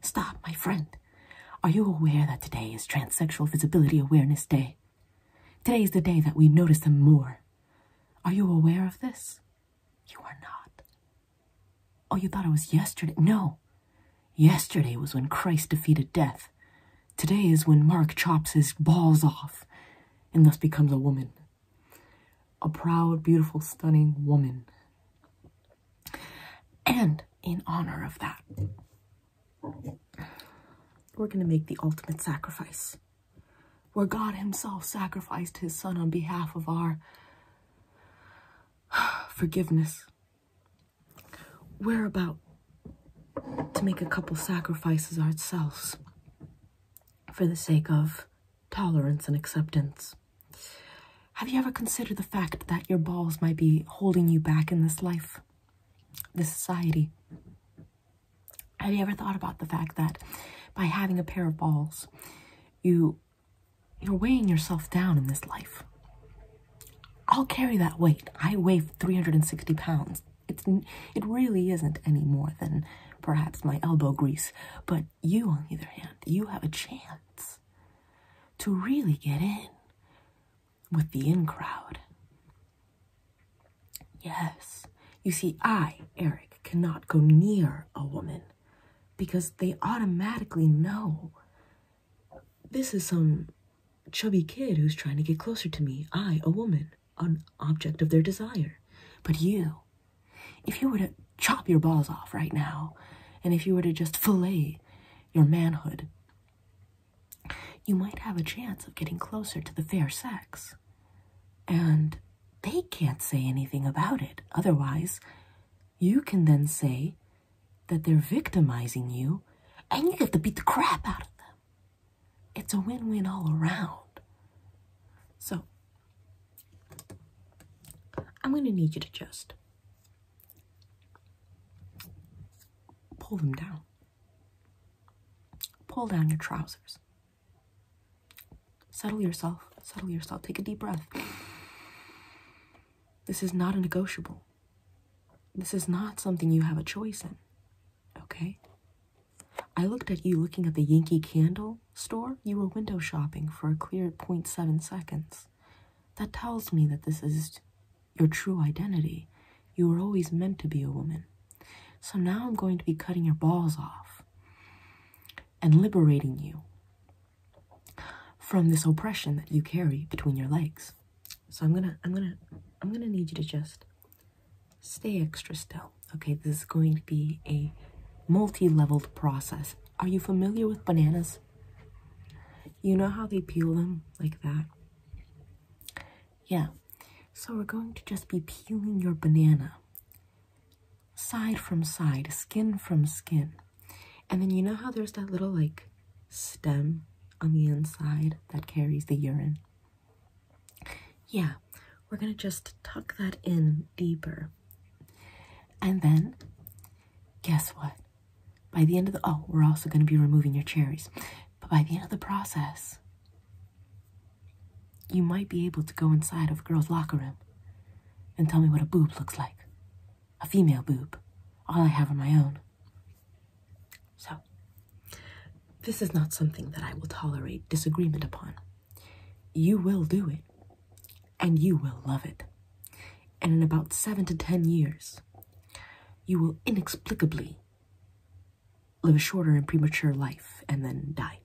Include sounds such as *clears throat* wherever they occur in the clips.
Stop, my friend. Are you aware that today is Transsexual Visibility Awareness Day? Today is the day that we notice them more. Are you aware of this? You are not. Oh, you thought it was yesterday? No. Yesterday was when Christ defeated death. Today is when Mark chops his balls off and thus becomes a woman. A proud, beautiful, stunning woman. And in honor of that, we're going to make the ultimate sacrifice where God Himself sacrificed His Son on behalf of our forgiveness. We're about to make a couple sacrifices ourselves for the sake of tolerance and acceptance. Have you ever considered the fact that your balls might be holding you back in this life, this society? Have you ever thought about the fact that by having a pair of balls, you you're weighing yourself down in this life? I'll carry that weight. I weigh 360 pounds. It's it really isn't any more than perhaps my elbow grease, but you, on either hand, you have a chance to really get in with the in crowd. Yes, you see, I, Eric, cannot go near a woman because they automatically know this is some chubby kid who's trying to get closer to me. I, a woman, an object of their desire. But you, if you were to chop your balls off right now, and if you were to just fillet your manhood, you might have a chance of getting closer to the fair sex. And they can't say anything about it. Otherwise, you can then say that they're victimizing you and you get to beat the crap out of them. It's a win win all around. So I'm going to need you to just pull them down. Pull down your trousers. Settle yourself. Settle yourself. Take a deep breath. This is not a negotiable. This is not something you have a choice in. Okay? I looked at you looking at the Yankee candle store, you were window shopping for a clear point seven seconds. That tells me that this is your true identity. You were always meant to be a woman. So now I'm going to be cutting your balls off and liberating you from this oppression that you carry between your legs. So I'm gonna, I'm gonna, I'm gonna need you to just stay extra still. Okay, this is going to be a multi-leveled process. Are you familiar with bananas? You know how they peel them like that? Yeah. So we're going to just be peeling your banana side from side, skin from skin. And then you know how there's that little like stem on the inside that carries the urine? Yeah, we're gonna just tuck that in deeper and then, guess what? By the end of the oh, we're also going to be removing your cherries. But by the end of the process, you might be able to go inside of a girl's locker room and tell me what a boob looks like. A female boob. All I have are my own. So, this is not something that I will tolerate disagreement upon. You will do it, and you will love it. And in about seven to ten years, you will inexplicably live a shorter and premature life and then die.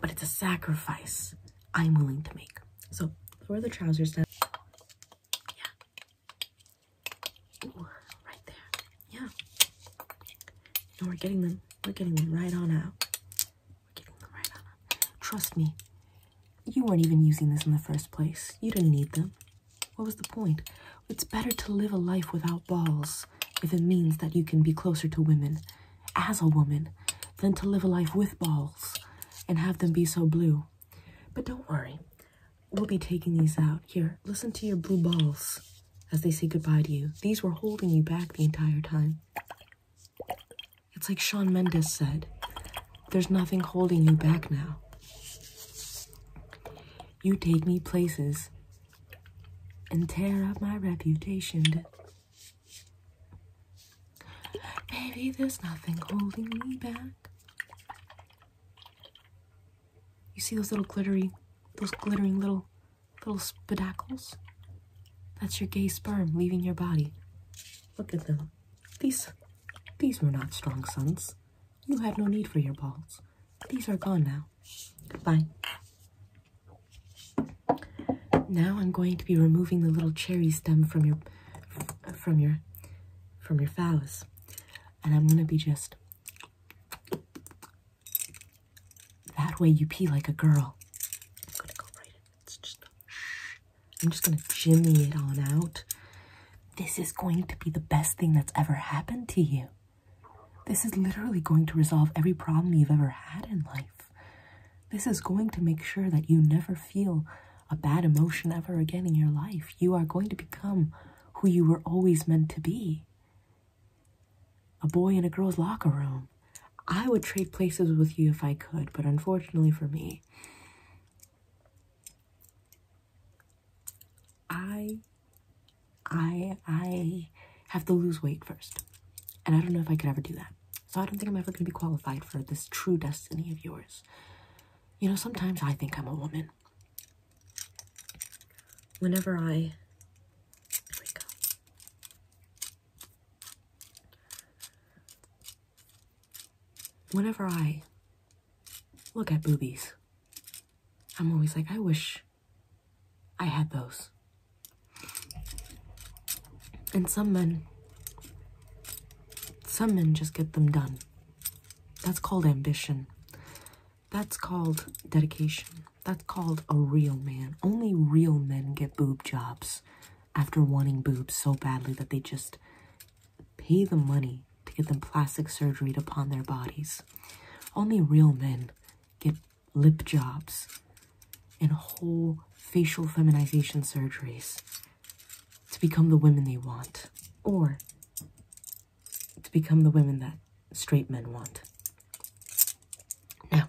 But it's a sacrifice I'm willing to make. So lower the trousers down. Yeah. right there yeah. No, we're getting them. We're getting them right on out. We're getting them right on out. Trust me, you weren't even using this in the first place. You didn't need them. What was the point? It's better to live a life without balls if it means that you can be closer to women as a woman than to live a life with balls and have them be so blue. But don't worry, we'll be taking these out. Here, listen to your blue balls as they say goodbye to you. These were holding you back the entire time. It's like Sean Mendes said there's nothing holding you back now. You take me places and tear up my reputation. Maybe there's nothing holding me back. You see those little glittery, those glittering little Little spidacles. That's your gay sperm leaving your body. Look at them. These these were not strong sons. You had no need for your balls. These are gone now. Goodbye. Now I'm going to be removing the little cherry stem from your from your from your phallus. And I'm gonna be just that way you pee like a girl. I'm gonna go right in. It's just I'm just gonna jimmy it on out. This is going to be the best thing that's ever happened to you. This is literally going to resolve every problem you've ever had in life. This is going to make sure that you never feel a bad emotion ever again in your life. You are going to become who you were always meant to be a boy in a girl's locker room. I would trade places with you if I could, but unfortunately for me, I I I have to lose weight first. And I don't know if I could ever do that. So I don't think I'm ever gonna be qualified for this true destiny of yours. You know, sometimes I think I'm a woman. Whenever I, Whenever I look at boobies, I'm always like, I wish I had those. And some men, some men just get them done. That's called ambition. That's called dedication. That's called a real man. Only real men get boob jobs after wanting boobs so badly that they just pay the money to get them plastic surgery upon their bodies. Only real men get lip jobs and whole facial feminization surgeries to become the women they want or to become the women that straight men want. Now,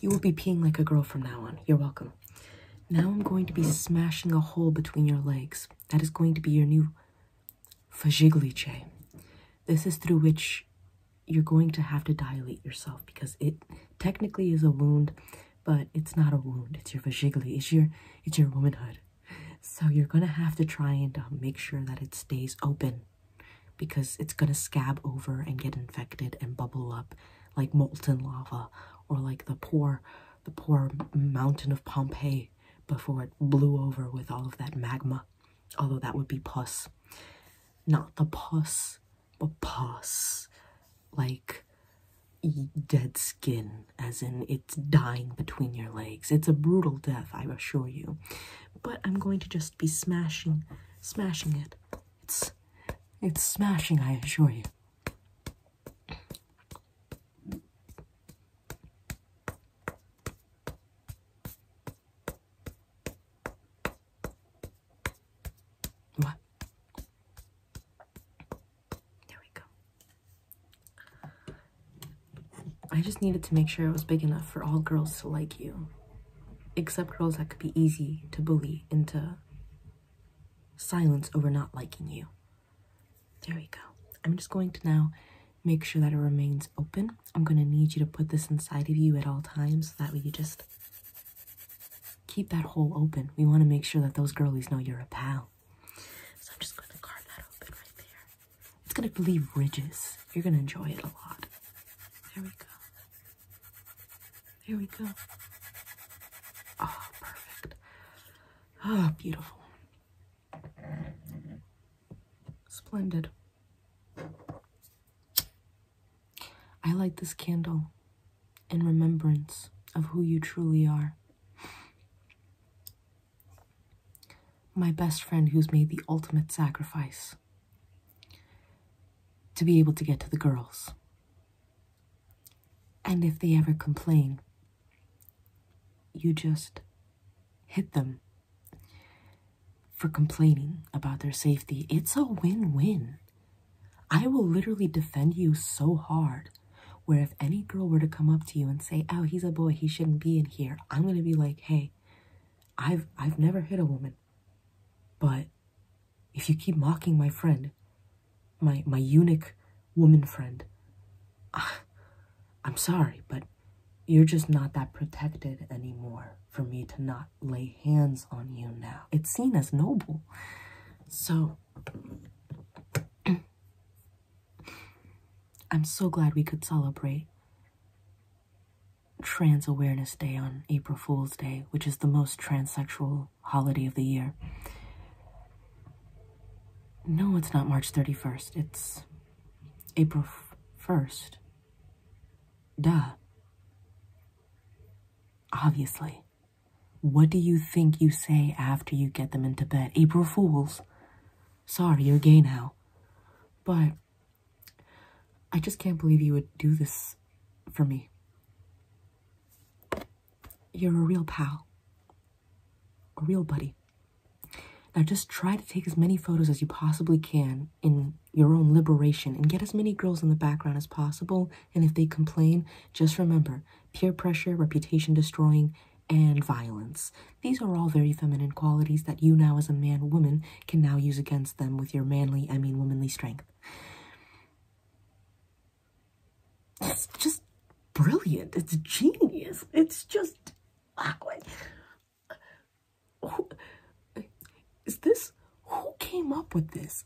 you will be peeing like a girl from now on. You're welcome. Now I'm going to be smashing a hole between your legs. That is going to be your new fajiglice. This is through which you're going to have to dilate yourself because it technically is a wound, but it's not a wound. It's your vajigli. It's your it's your womanhood. So you're going to have to try and um, make sure that it stays open because it's going to scab over and get infected and bubble up like molten lava or like the poor the poor mountain of Pompeii before it blew over with all of that magma. Although that would be pus. Not the pus, but pus. Like dead skin as in it's dying between your legs. It's a brutal death, I assure you. But I'm going to just be smashing, smashing it. It's, it's smashing, I assure you. What? There we go. I just needed to make sure it was big enough for all girls to like you. Except girls that could be easy to bully into silence over not liking you. There we go. I'm just going to now make sure that it remains open. I'm going to need you to put this inside of you at all times so that way you just keep that hole open. We want to make sure that those girlies know you're a pal. So I'm just going to carve that open right there. It's going to leave ridges. You're going to enjoy it a lot. There we go. Here we go. Oh, perfect. Oh, beautiful. Splendid. I light this candle in remembrance of who you truly are my best friend who's made the ultimate sacrifice to be able to get to the girls. And if they ever complain, you just hit them for complaining about their safety. It's a win win. I will literally defend you so hard where if any girl were to come up to you and say, "Oh, he's a boy, he shouldn't be in here," I'm gonna be like, "Hey, I've I've never hit a woman, but if you keep mocking my friend, my my eunuch woman friend, ah, I'm sorry, but you're just not that protected anymore for me to not lay hands on you now. It's seen as noble, so." *clears throat* I'm so glad we could celebrate Trans Awareness Day on April Fool's Day, which is the most transsexual holiday of the year. No, it's not March 31st. It's April 1st. Duh. Obviously. What do you think you say after you get them into bed? April Fools. Sorry, you're gay now. But I just can't believe you would do this for me. You're a real pal, a real buddy. Now just try to take as many photos as you possibly can in your own liberation and get as many girls in the background as possible and if they complain, just remember peer pressure, reputation destroying, and violence. These are all very feminine qualities that you now, as a man woman, can now use against them with your manly, I mean, womanly strength. It's just brilliant. It's genius. It's just. Who, is this who came up with this?